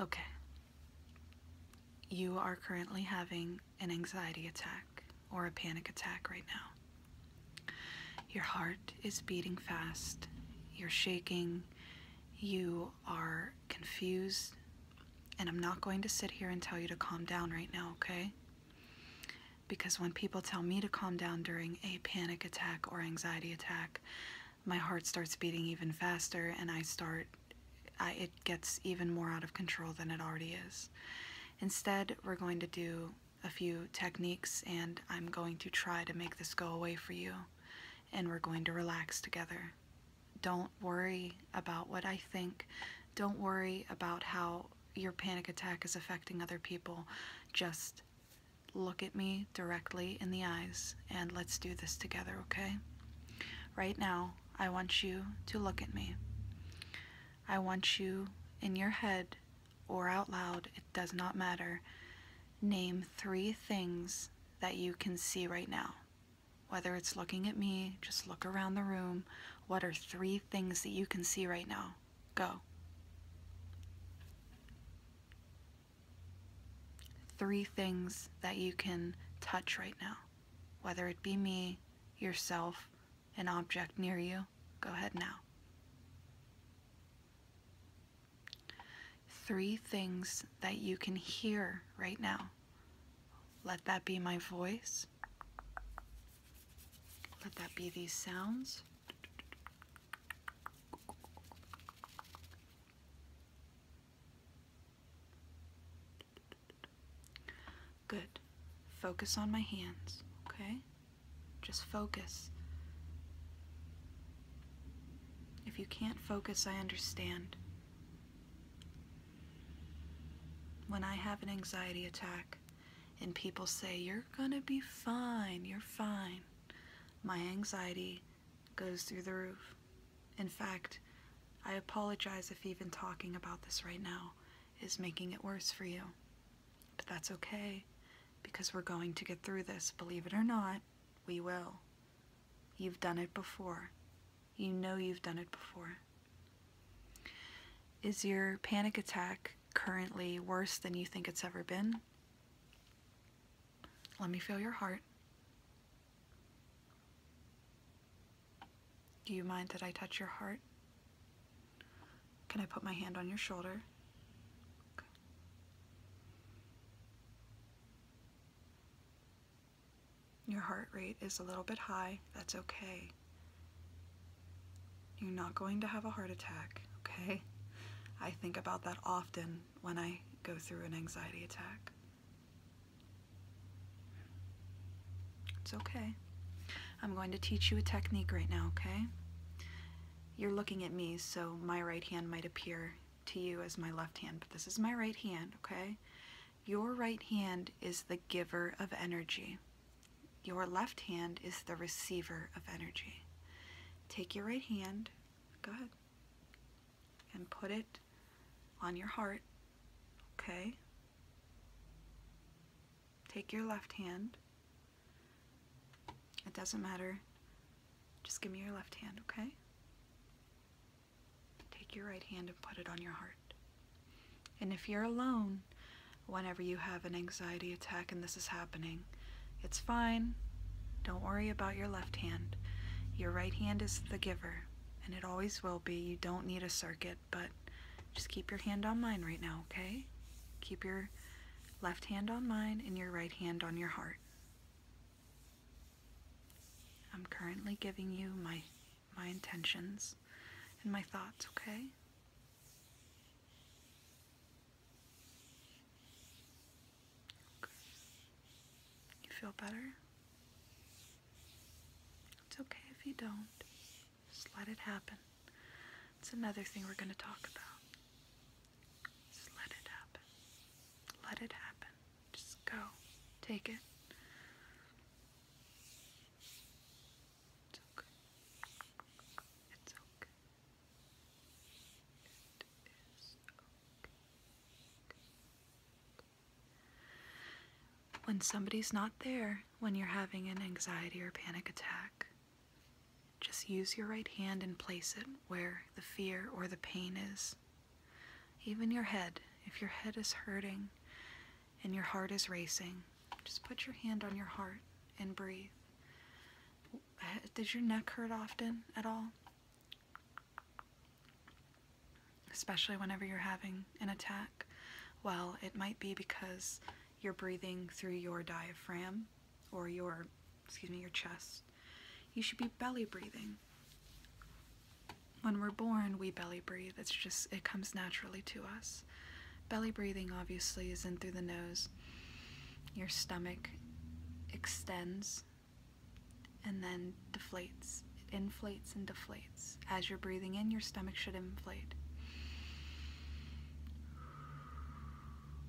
Okay. You are currently having an anxiety attack or a panic attack right now. Your heart is beating fast, you're shaking, you are confused, and I'm not going to sit here and tell you to calm down right now, okay? Because when people tell me to calm down during a panic attack or anxiety attack, my heart starts beating even faster and I start, I, it gets even more out of control than it already is. Instead, we're going to do a few techniques and I'm going to try to make this go away for you and we're going to relax together. Don't worry about what I think. Don't worry about how your panic attack is affecting other people. Just look at me directly in the eyes and let's do this together, okay? Right now, I want you to look at me. I want you in your head or out loud, it does not matter. Name three things that you can see right now. Whether it's looking at me, just look around the room. What are three things that you can see right now? Go. Three things that you can touch right now, whether it be me, yourself, an object near you. Go ahead now. Three things that you can hear right now. Let that be my voice. Let that be these sounds. Good. Focus on my hands, okay? Just focus. If you can't focus, I understand. When I have an anxiety attack and people say, You're gonna be fine, you're fine, my anxiety goes through the roof. In fact, I apologize if even talking about this right now is making it worse for you. But that's okay, because we're going to get through this. Believe it or not, we will. You've done it before. You know you've done it before. Is your panic attack currently worse than you think it's ever been? Let me feel your heart. Do you mind that I touch your heart? Can I put my hand on your shoulder? Your heart rate is a little bit high. That's okay. You're not going to have a heart attack, okay? I think about that often when I go through an anxiety attack. It's okay. I'm going to teach you a technique right now, okay? You're looking at me, so my right hand might appear to you as my left hand, but this is my right hand, okay? Your right hand is the giver of energy. Your left hand is the receiver of energy. Take your right hand, go ahead, and put it on your heart, okay? Take your left hand. It doesn't matter. Just give me your left hand, okay? Take your right hand and put it on your heart. And if you're alone, whenever you have an anxiety attack and this is happening. It's fine. Don't worry about your left hand. Your right hand is the giver, and it always will be. You don't need a circuit, but just keep your hand on mine right now, okay? Keep your left hand on mine and your right hand on your heart. I'm currently giving you my my intentions and my thoughts, okay? You feel better? It's okay if you don't. Just let it happen. It's another thing we're going to talk about. Just let it happen. Let it happen. Just go. Take it. It's okay. It's okay. It is okay. When somebody's not there, when you're having an anxiety or panic attack, just use your right hand and place it where the fear or the pain is. Even your head, if your head is hurting, and your heart is racing, just put your hand on your heart and breathe. Uh, does your neck hurt often at all? Especially whenever you're having an attack? Well, it might be because you're breathing through your diaphragm or your, excuse me, your chest. You should be belly breathing. When we're born, we belly breathe. It's just, it comes naturally to us. Belly breathing obviously is in through the nose. Your stomach extends and then deflates. It inflates and deflates. As you're breathing in, your stomach should inflate.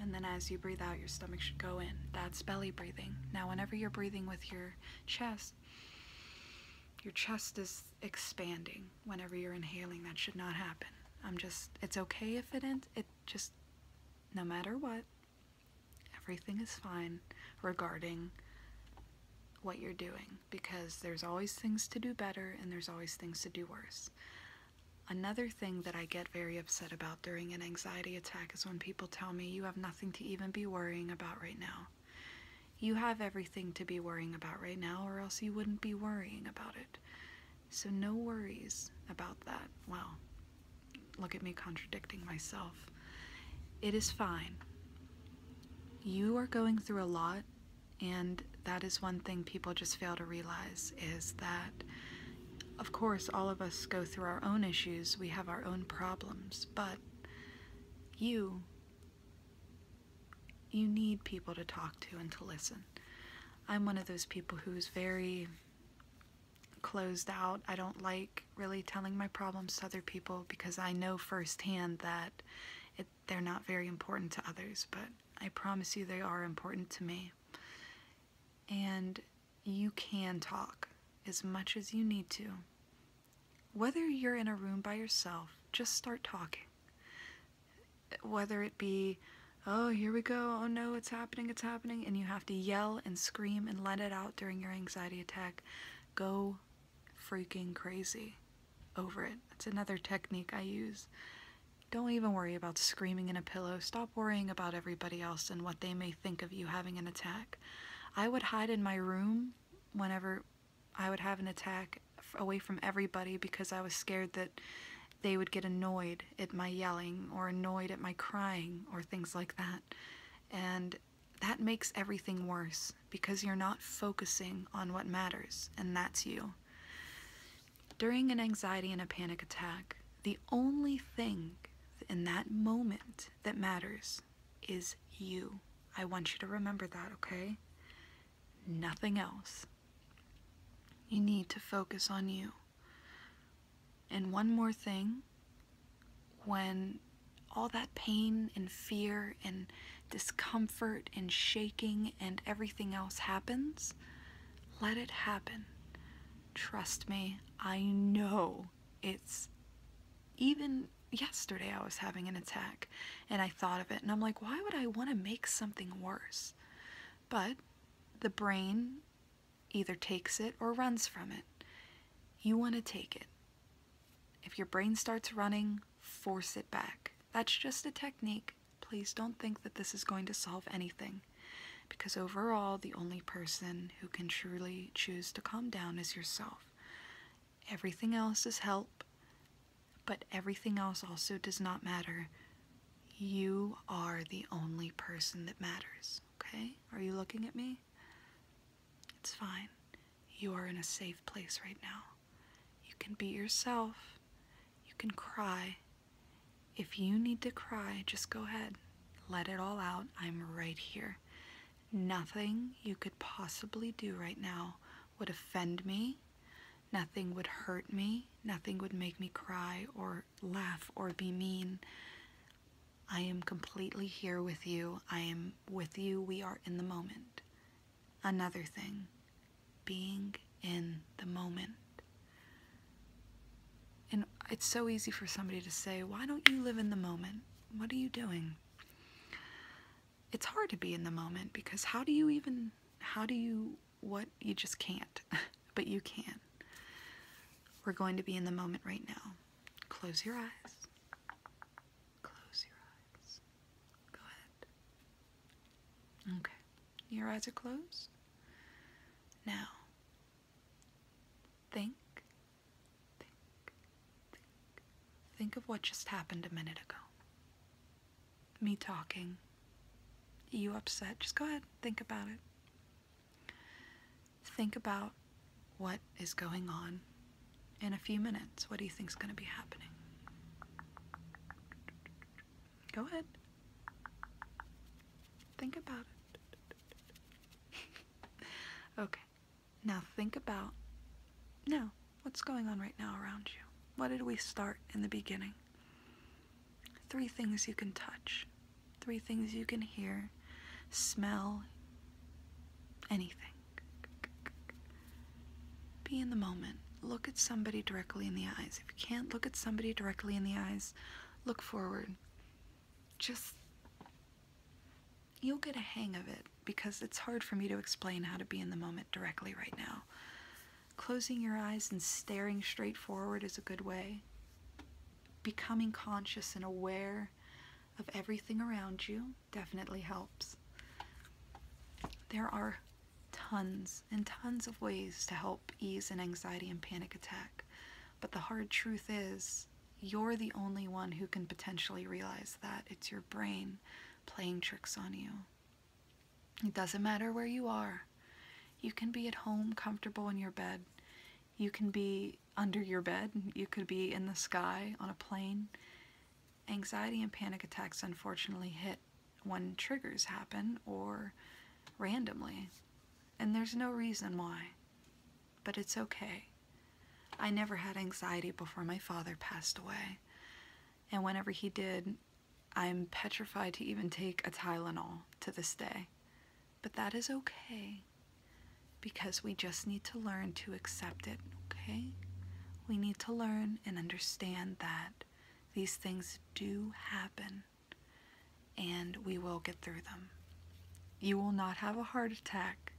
And then as you breathe out, your stomach should go in. That's belly breathing. Now, whenever you're breathing with your chest, your chest is expanding whenever you're inhaling. That should not happen. I'm just, it's okay if it ends, it just, no matter what, everything is fine regarding what you're doing because there's always things to do better and there's always things to do worse. Another thing that I get very upset about during an anxiety attack is when people tell me you have nothing to even be worrying about right now. You have everything to be worrying about right now, or else you wouldn't be worrying about it. So, no worries about that. Well, look at me contradicting myself. It is fine. You are going through a lot, and that is one thing people just fail to realize is that, of course, all of us go through our own issues, we have our own problems, but you you need people to talk to and to listen. I'm one of those people who's very closed out. I don't like really telling my problems to other people because I know firsthand that they're not very important to others, but I promise you they are important to me. And you can talk as much as you need to. Whether you're in a room by yourself, just start talking. Whether it be, oh, here we go, oh no, it's happening, it's happening, and you have to yell and scream and let it out during your anxiety attack, go freaking crazy over it. That's another technique I use. Don't even worry about screaming in a pillow. Stop worrying about everybody else and what they may think of you having an attack. I would hide in my room whenever I would have an attack away from everybody because I was scared that they would get annoyed at my yelling or annoyed at my crying or things like that. And that makes everything worse because you're not focusing on what matters, and that's you. During an anxiety and a panic attack, the only thing in that moment that matters is you. I want you to remember that, okay? Nothing else. You need to focus on you. And one more thing when all that pain and fear and discomfort and shaking and everything else happens, let it happen. Trust me, I know it's even yesterday I was having an attack and I thought of it and I'm like, why would I want to make something worse? But the brain either takes it or runs from it. You want to take it. If your brain starts running, force it back. That's just a technique. Please don't think that this is going to solve anything. Because overall, the only person who can truly choose to calm down is yourself. Everything else is help, but everything else also does not matter. You are the only person that matters, okay? Are you looking at me? It's fine. You are in a safe place right now. You can be yourself. You can cry. If you need to cry, just go ahead. Let it all out. I'm right here. Nothing you could possibly do right now would offend me. Nothing would hurt me. Nothing would make me cry or laugh or be mean. I am completely here with you. I am with you. We are in the moment. Another thing, being in the moment. And it's so easy for somebody to say, Why don't you live in the moment? What are you doing? it's hard to be in the moment because how do you even how do you what you just can't but you can we're going to be in the moment right now close your eyes close your eyes go ahead okay your eyes are closed now think Think, think, of what just happened a minute ago. Me talking. You upset. Just go ahead, think about it. Think about what is going on in a few minutes. What do you think is going to be happening? Go ahead. Think about it. okay. Now think about now what's going on right now around you. What did we start in the beginning? Three things you can touch, three things you can hear, smell, anything. Be in the moment. Look at somebody directly in the eyes. If you can't look at somebody directly in the eyes, look forward just you'll get a hang of it because it's hard for me to explain how to be in the moment directly right now. Closing your eyes and staring straight forward is a good way. Becoming conscious and aware of everything around you definitely helps. There are tons and tons of ways to help ease an anxiety and panic attack, but the hard truth is you're the only one who can potentially realize that. It's your brain playing tricks on you. It doesn't matter where you are. You can be at home, comfortable in your bed. You can be under your bed. You could be in the sky, on a plane. Anxiety and panic attacks unfortunately hit when triggers happen or randomly. And there's no reason why but it's okay. I never had anxiety before my father passed away, and whenever he did, I'm petrified to even take a Tylenol to this day. But that is okay because we just need to learn to accept it, okay? We need to learn and understand that these things do happen and we will get through them. You will not have a heart attack.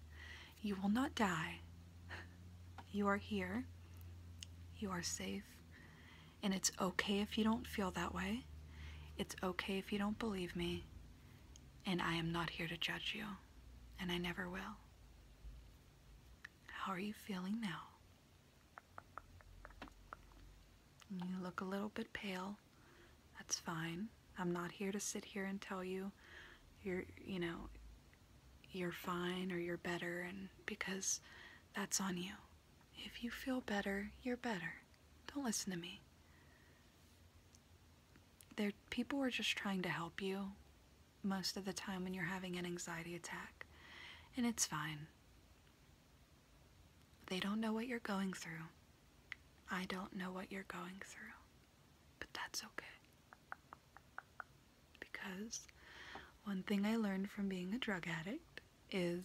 You will not die. You are here. You are safe. And it's okay if you don't feel that way. It's okay if you don't believe me. And I am not here to judge you. And I never will. How are you feeling now? You look a little bit pale. That's fine. I'm not here to sit here and tell you you're, you know, you're fine or you're better and because that's on you. If you feel better, you're better. Don't listen to me. There people are just trying to help you most of the time when you're having an anxiety attack. And it's fine. They don't know what you're going through. I don't know what you're going through, but that's okay. Because one thing I learned from being a drug addict is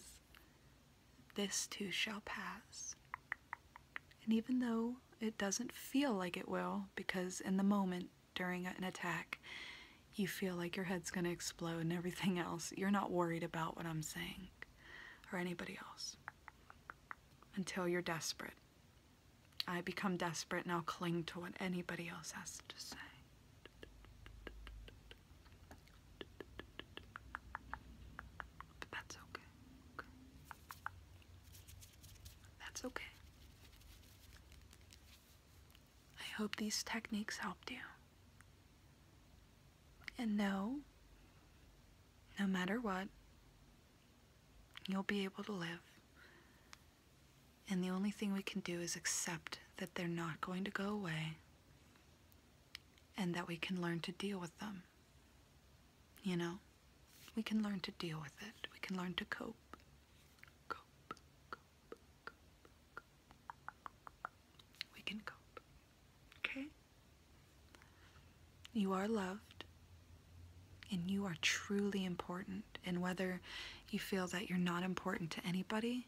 this too shall pass. And even though it doesn't feel like it will, because in the moment during an attack, you feel like your head's going to explode and everything else, you're not worried about what I'm saying or anybody else until you're desperate. I become desperate and I'll cling to what anybody else has to say. But that's okay. That's okay. I hope these techniques helped you. And know, no matter what, you'll be able to live. And the only thing we can do is accept that they're not going to go away and that we can learn to deal with them. You know, we can learn to deal with it, we can learn to cope, cope. We can cope. Okay? You are loved and you are truly important. And whether you feel that you're not important to anybody,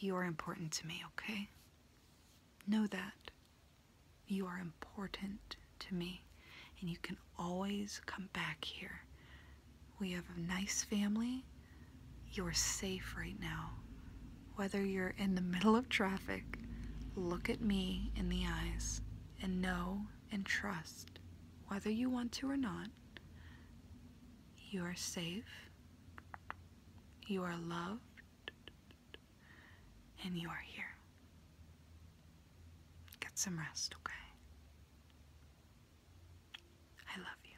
you are important to me, okay? Know that. You are important to me. And you can always come back here. We have a nice family. You're safe right now whether you're in the middle of traffic, look at me in the eyes and know and trust, whether you want to or not, you are safe, you are loved, and you are here. Get some rest, okay? I love you.